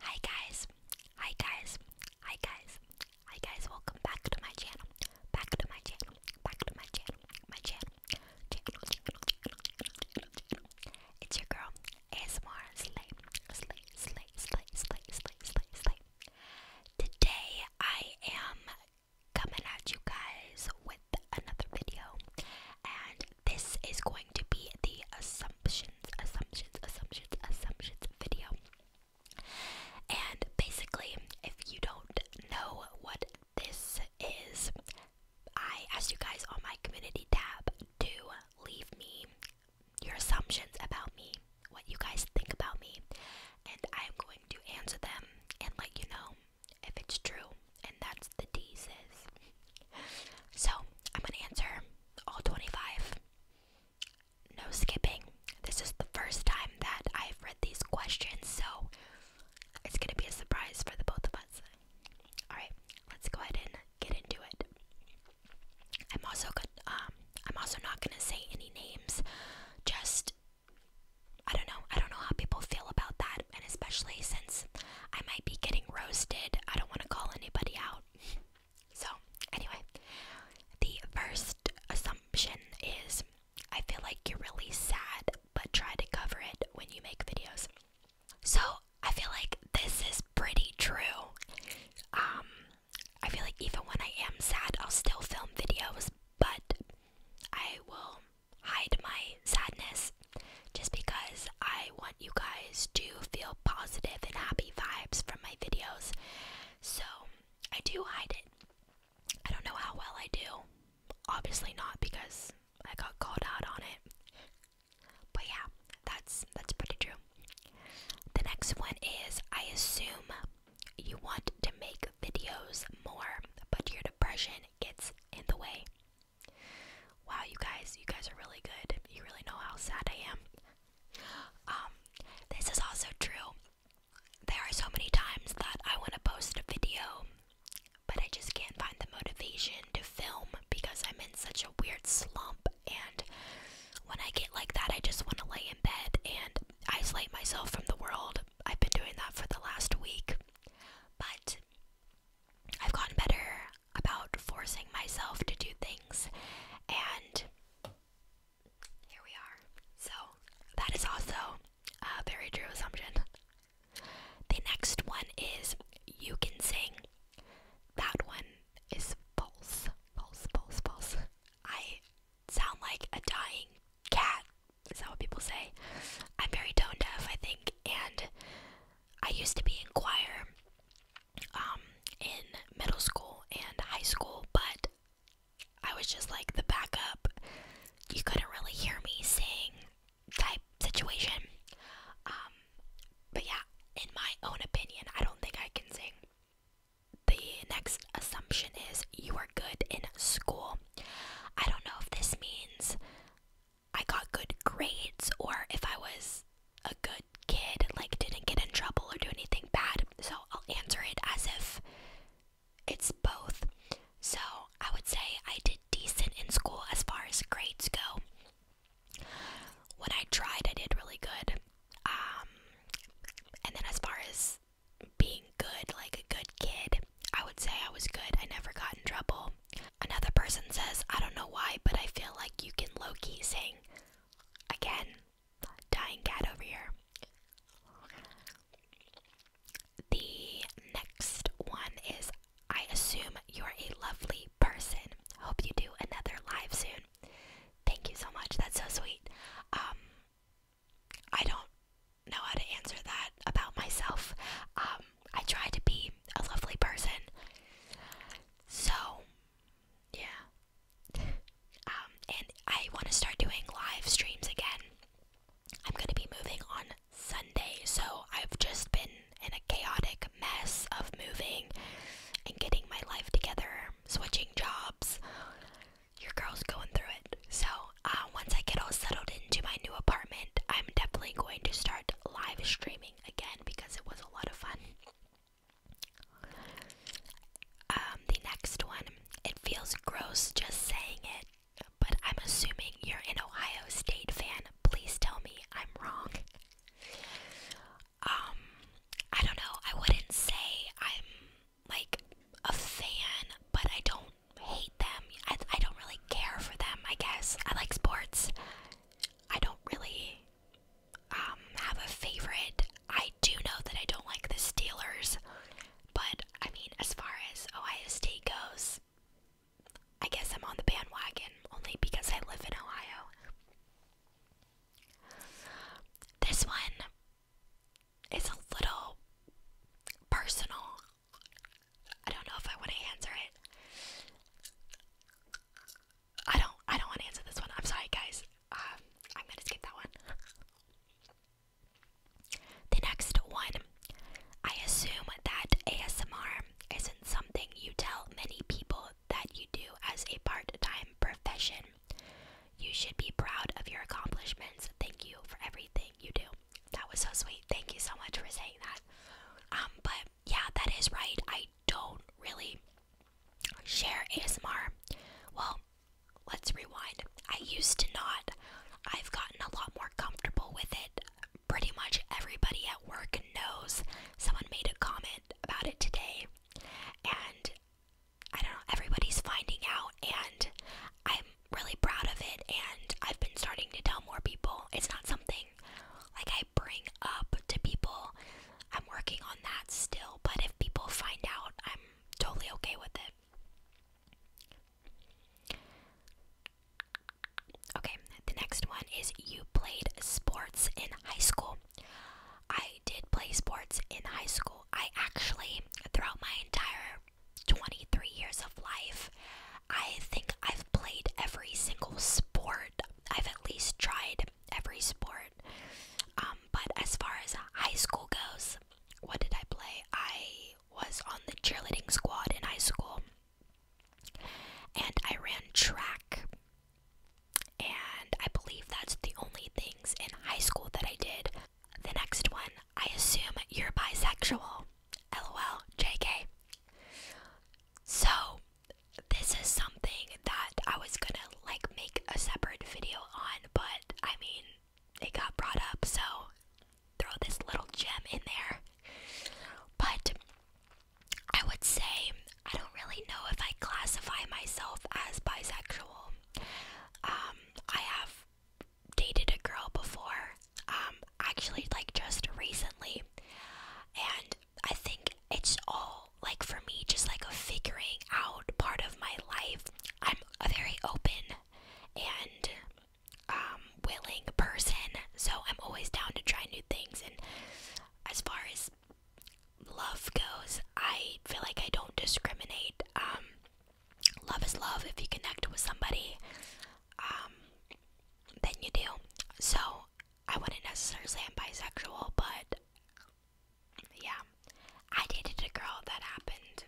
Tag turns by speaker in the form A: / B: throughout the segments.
A: Hi guys, hi guys, hi guys, hi guys, welcome back to my channel, back to my channel, back to my channel, my channel, channel, channel, channel, channel, channel. It's your girl, ASMR Slay, Slay, Slay, Slay, Slay, Slay, Slay, Slay. Today I am coming at you guys with another video, and this is going to be the assumptions, assumptions, assumptions assumptions video. And basically, if you don't know what this is, I asked you guys on my community tab to leave me your assumptions about me, what you guys think about me, and I am going to answer them and let you know if it's true. And that's the D So I'm gonna answer all 25. No skipping. This is the first time that I've read these questions, so it's going to be a surprise for the both of us. Alright, let's go ahead and get into it. I'm also good, um, I'm also not going to say any names. Just, I don't know. I don't know how people feel about that, and especially since I might be getting roasted, I don't want to call anybody out. So, anyway, the first assumption is I feel like you're really sad, but try to cover it when you make videos. So, I feel like this is pretty true. Um, I feel like even when I am sad, I'll still film videos, but I will hide my sadness just because I want you guys to feel positive and happy vibes from my videos. So I do hide it. I don't know how well I do. Obviously not because I got called out on it. But yeah, that's that's pretty true. The next one is I assume you want to make videos more, but your depression gets in the way. Wow, you guys, you guys are really good. You really know how sad I am. Um, this is also true. There are so many times that I want to post a video, but I just can't find the motivation to film because I'm in such a weird slump. And when I get like that, I just want to lay in bed and isolate myself from the world. I've been doing that for the last week, but I've gotten better about forcing myself to do things, and here we are. So, that is also a very true assumption. The next one is you can sing. That one is false. False, false, false. I sound like a dying cat. Is that what people say? I'm very tone deaf, I think, and I used to be in choir, um, in middle school and high school, but I was just like the backup. You couldn't really hear me sing type situation. Um, but yeah, in my own opinion, I don't think I can sing. The next assumption is you are good in school. I don't know if this means I got good grades or if I was a good kid, like didn't get in trouble or do anything bad. So I'll answer it as if it's both. So I would say I did decent in school as far as grades go. When I tried, I did really good. Um, and then as far as being good, like a good kid, I would say I was good. I never got in trouble. Another person says, I don't know why, but I feel like you can low key sing. Again, dying cat over here. The next one is I assume you're a lovely person. Hope you do another live soon. Thank you so much. That's so sweet. Um I don't know how to answer that about myself. Um I try to be a lovely person. So, yeah. um, and I want to start doing live streams again. I'm going to be moving on Sunday, so I've just been in a chaotic mess of moving and getting my life together, switching jobs. Your girl's going through it. So, uh, once I get all settled into my new apartment, I'm definitely going to start live streaming again because it was a lot of fun. Um, the next one, it feels gross just saying it, but I'm assuming you're an Ohio State fan. Please tell me I'm wrong. Um, I don't know. I wouldn't say I'm like a fan, but I don't hate them. I, I don't really care for them, I guess. I like sports. I don't really um, have a favorite. I do know that I don't like the Steelers, but I mean, as far as Ohio State goes, I guess I'm on the bandwagon only because I live in Ohio. This one is a little personal. I don't know if I want to answer it. I don't. I don't want to answer this one. I'm sorry, guys. Um, I'm gonna skip that one. the next one. I assume that ASMR isn't something you tell many people that you do as a part-time profession. You should be proud of your accomplishments. Thank you for everything you do. That was so sweet. Thank you so much for saying that. Um, but yeah, that is right. I don't really share ASMR. Well, let's rewind. I used to not. I've gotten a lot more comfortable with it. Pretty much everybody at work knows. Someone made a comment about it today, and I don't know, everybody's finding out, and I'm really proud of it. And I've been starting to tell more people. It's not something like I I bring up to people. I'm working on that still, but if people find out, I'm totally okay with it. Okay, the next one is you played sports in high school. I did play sports in high school. I actually, throughout my entire 23 years of life, I think I've played every single sport. I've at least tried every sport. Um, but as far as high school goes, what did I play? I was on the cheerleading squad in high school, and I ran track. And I believe that's the only things in high school that I did. The next one, I assume you're bisexual. LOL, JK. So, this is something that I was gonna like make a separate video on, but I mean, it got brought up, so throw this little gem in there. But I would say I don't really know if I classify myself as bisexual. Um, I have dated a girl before um, actually like just recently, and I think it's all like for me just like a figuring out part of my life. I'm a very open and um, willing person, so I'm always down to try new things. And as far as love goes, I feel like I don't discriminate. Um, love is love if you connect with somebody um than you do. So I wouldn't necessarily say I'm bisexual, but yeah. I dated a girl that happened.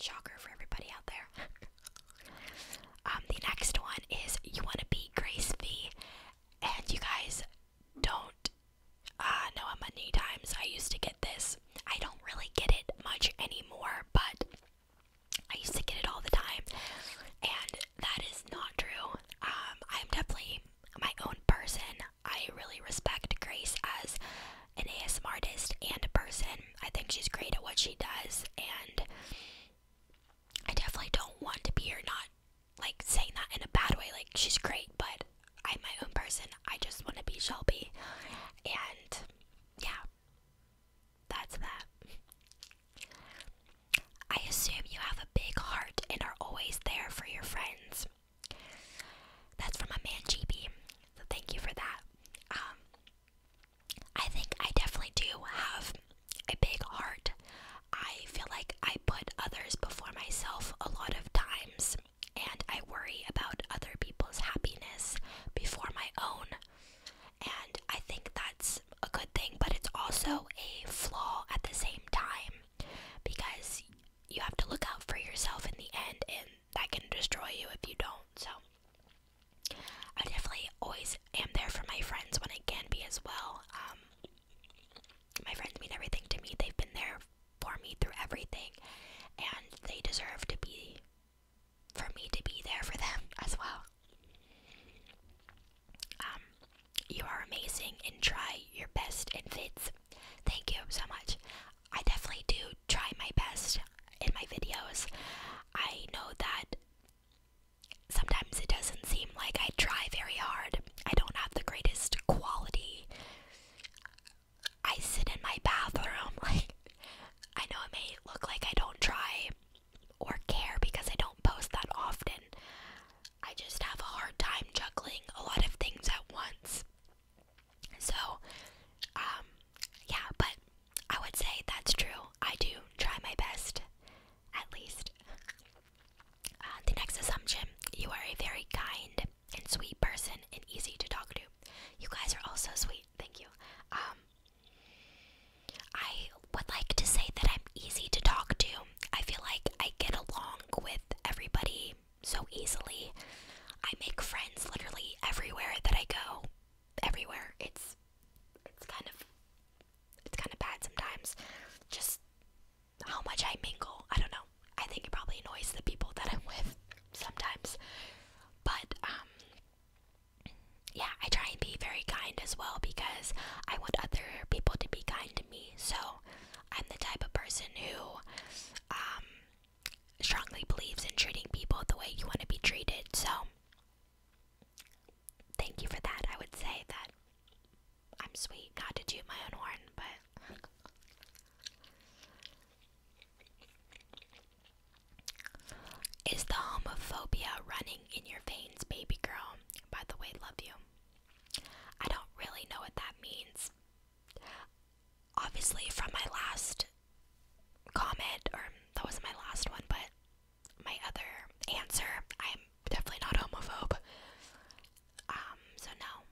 A: Shocker for everybody out there. um, the next one is you want to be Grace V, and you guys don't uh, know how many times I used to get this. I don't really get it much anymore, but I used to get it all the time, and that is not true. Um, I'm definitely my own person. I really respect Grace as an ASMR artist and a person. I think she's great at what she does, and I definitely don't want to be here not like saying that in a bad way. Like she's great, but I'm my own person. I just want to be Shelby, and yeah, that's that. I assume you have a big heart and are always there for your friends. That's from a man GB, so thank you for that. Um, I think I definitely do have a big heart. I feel like I put others before myself a lot of times, and I worry about other people's happiness before my own. And I think that's a good thing, but it's also a flaw at the same time because you have to look out for yourself in the end, and that can destroy you if you don't. So, I definitely always am there for my friends when I can be as well. Um, my friends mean everything to me, they've been there for me through everything, and they deserve to be for me to be there for them as well. Um, you are amazing and try your best in vids. Thank you so much. I definitely do try my best in my videos. I know that sometimes it doesn't seem like I try very hard. I don't have the greatest quality. I sit in my bathroom like I know it may look like I don't try or care because I don't post that often. I just have a hard time juggling a lot of things at once. So, um, yeah, but I would say that's true. I do try my best, at least. Uh, the next assumption you are a very kind and sweet person and easy to talk to. You guys are also sweet, thank you. Um, I would like to say that I'm easy to talk to. I feel like I get along with everybody so easily. I make friends literally everywhere that I go. Everywhere. It's it's kind of it's kind of bad sometimes. Just how much I mingle. I don't know. I think it probably annoys the people that I'm with sometimes. But um yeah, I try and be very kind as well because I want other people to be kind to me. So I'm the type of person who um, strongly believes in treating people the way you want to be treated. So thank you for that. I would say that I'm sweet, not to toot my own horn, but. Is the homophobia running in your veins, baby girl? By the way, love you. I don't really know what that means. Obviously, from my last comment, or that was my last one, but my other answer, I'm definitely not homophobe. Um, so no,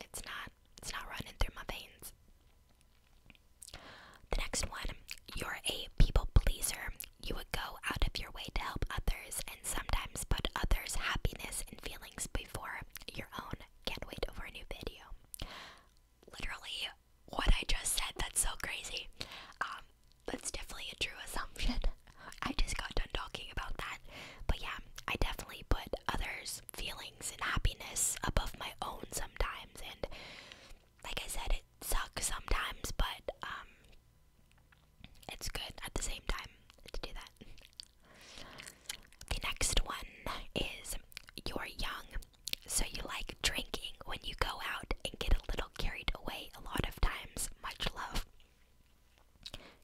A: it's not. It's not running through my veins. The next one, you're a people pleaser. You would go out of your way to help others and sometimes put others' happiness and feelings before your own. Can't wait for a new video. Literally, what I just said, that's so crazy. Um, that's definitely a true assumption. I just got done talking about that. But yeah, I definitely put others' feelings and happiness above my own sometimes, and like I said, it sucks sometimes, but um, it's good at the same time to do that. The next one is you're young, so you like drinking when you go out and get a little carried away a lot of times. Much love.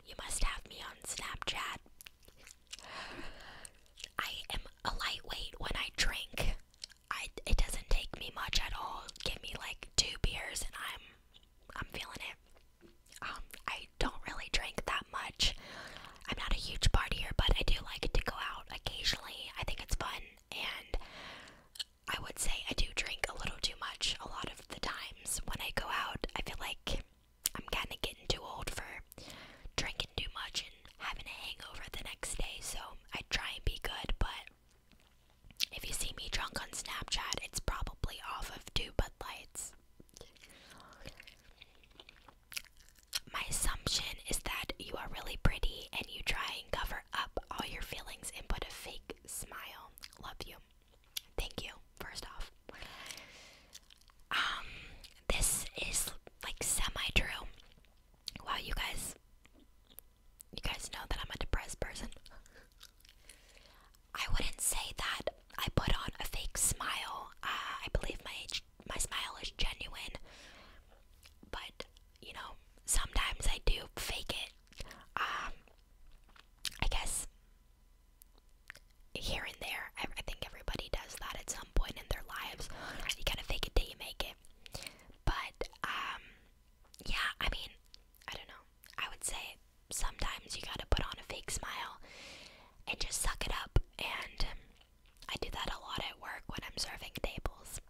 A: You must have me on Snapchat. I am a lightweight when I drink. I it doesn't take me much at all. Give me like two beers and I'm I'm feeling it. Um, I don't really drink that much. I'm not a huge partier, but I do like to go out occasionally. I think it's fun, and I would say I do drink a little too much a lot of the times when I go out. I feel like I'm kind of getting too old for drinking too much having a hangover the next day, so I try and be good, but if you see me drunk on Snapchat, it's probably off of two Bud Lights. My assumption is that you are really pretty and you try and cover up all your feelings and put a fake smile. Love you. Thank you, first off. Um, this is like semi true. Wow, you guys, you guys know that I'm a depressed person. I wouldn't say that I put on a fake smile. Uh, I believe my my smile is genuine, but you know sometimes I do fake it. Um, I guess here and there, I, I think everybody does that at some point in their lives. You gotta fake it till you make it. But um, yeah, I mean, I don't know. I would say sometimes you got to put on a fake smile and just suck it up and I do that a lot at work when I'm serving tables.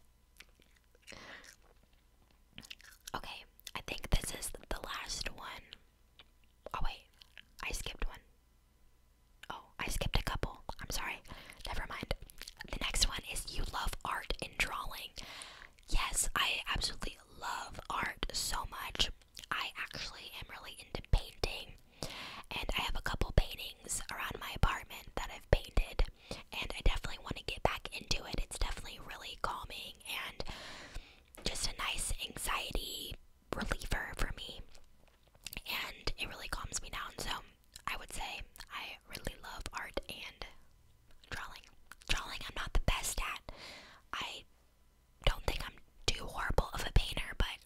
A: Okay, I think this is the last one. Oh wait, I skipped one. Oh, I skipped a couple. I'm sorry. Never mind. The next one is you love art and drawing. Yes, I absolutely love art so much. I actually am really into painting, and I have a couple paintings around my apartment that I've painted, and I definitely want to get back into it. It's definitely really calming and just a nice anxiety reliever for me and it really calms me down. So I would say I really love art and drawing. Drawing, I'm not the best at. I don't think I'm too horrible of a painter, but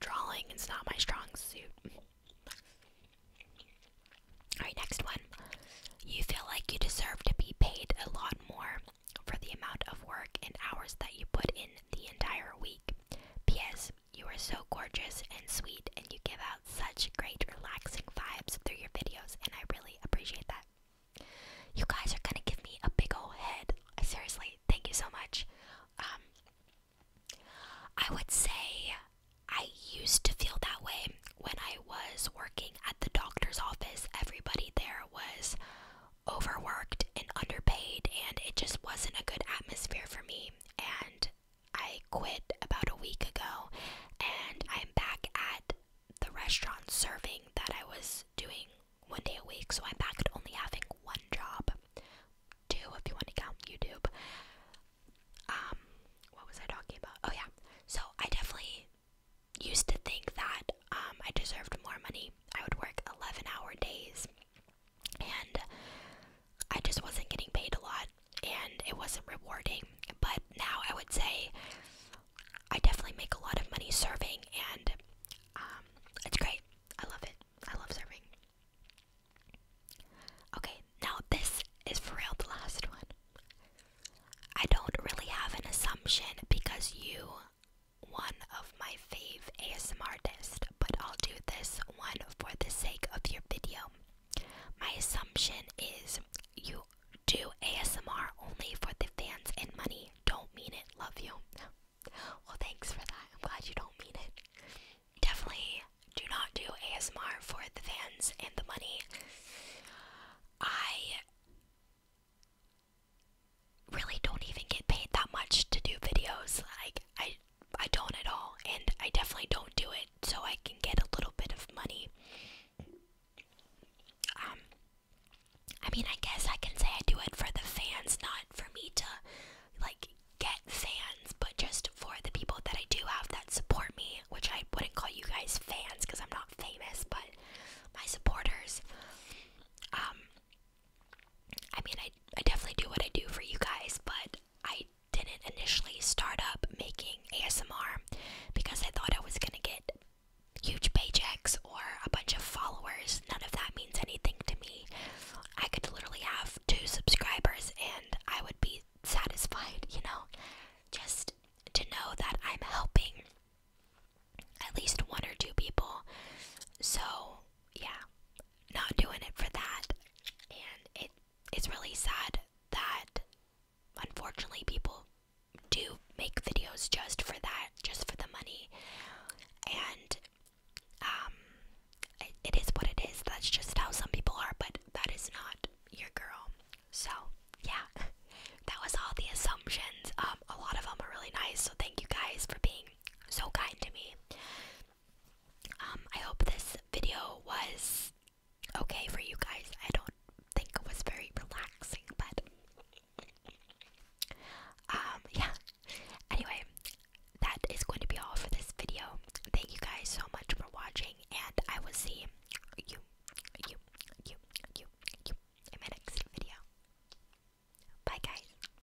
A: drawing is not my strong suit. Alright, next one. You feel like you deserve to be paid a lot more for the amount of work and hours that you put in the entire week. P.S. You are so gorgeous and sweet, and you give out such great relaxing vibes through your videos, and I really appreciate that. You guys are gonna give me a big old head. seriously, thank you so much. Um, I would say I used to feel that way when I was working at the doctor's office. Everybody there was overworked and underpaid, and it just wasn't a good atmosphere for me and I quit about a week ago and I'm back at the restaurant serving that I was doing one day a week, so I'm back at only having one job. Two if you want to count YouTube. Um, what was I talking about? Oh yeah. So I definitely used to think that um, I deserved more money. I would work eleven hour days and I just wasn't getting paid a lot and it wasn't rewarding. But now I would say I definitely make a lot of money serving and um, it's great. I love it. I love serving. Okay, now this is for real the last one. I don't really have an assumption because you, one my fave ASMR artist, but I'll do this one for the sake of your video. My assumption is you do ASMR only for the fans and money. Don't mean it. Love you. Well, thanks for that. I'm glad you don't mean it. Definitely do not do ASMR for the fans and the money. I really don't even get paid that much to do videos. Like, I I don't at all, and I definitely don't do it so I can get a little bit of money. Um, I mean, I guess I can say I do it for the fans, not for me to like get fans, but just for the people that I do have that support me, which I wouldn't call you guys fans because I'm not famous, but my supporters. Um, I mean, I, I definitely do what I do for you guys, but I didn't initially start up making ASMR because I thought I was going to get huge paychecks or a bunch of followers. None of that means anything to me. I could literally have two subscribers and I would be satisfied, you know? Just to know that I'm helping at least one or two people. So, yeah, not doing it for that. And it's really sad that unfortunately people do make videos just for that, just for the money. And um it is what it is. That's just how some people are, but that is not your girl. So, yeah. That was all the assumptions. Um a lot of them are really nice, so thank you guys for being so kind to me. Um, I hope this video was okay for you guys. I don't think it was very relaxing, but um, yeah. Anyway, that is going to be all for this video. Thank you guys so much for watching, and I will see you, you, you, you, you in my next video. Bye, guys.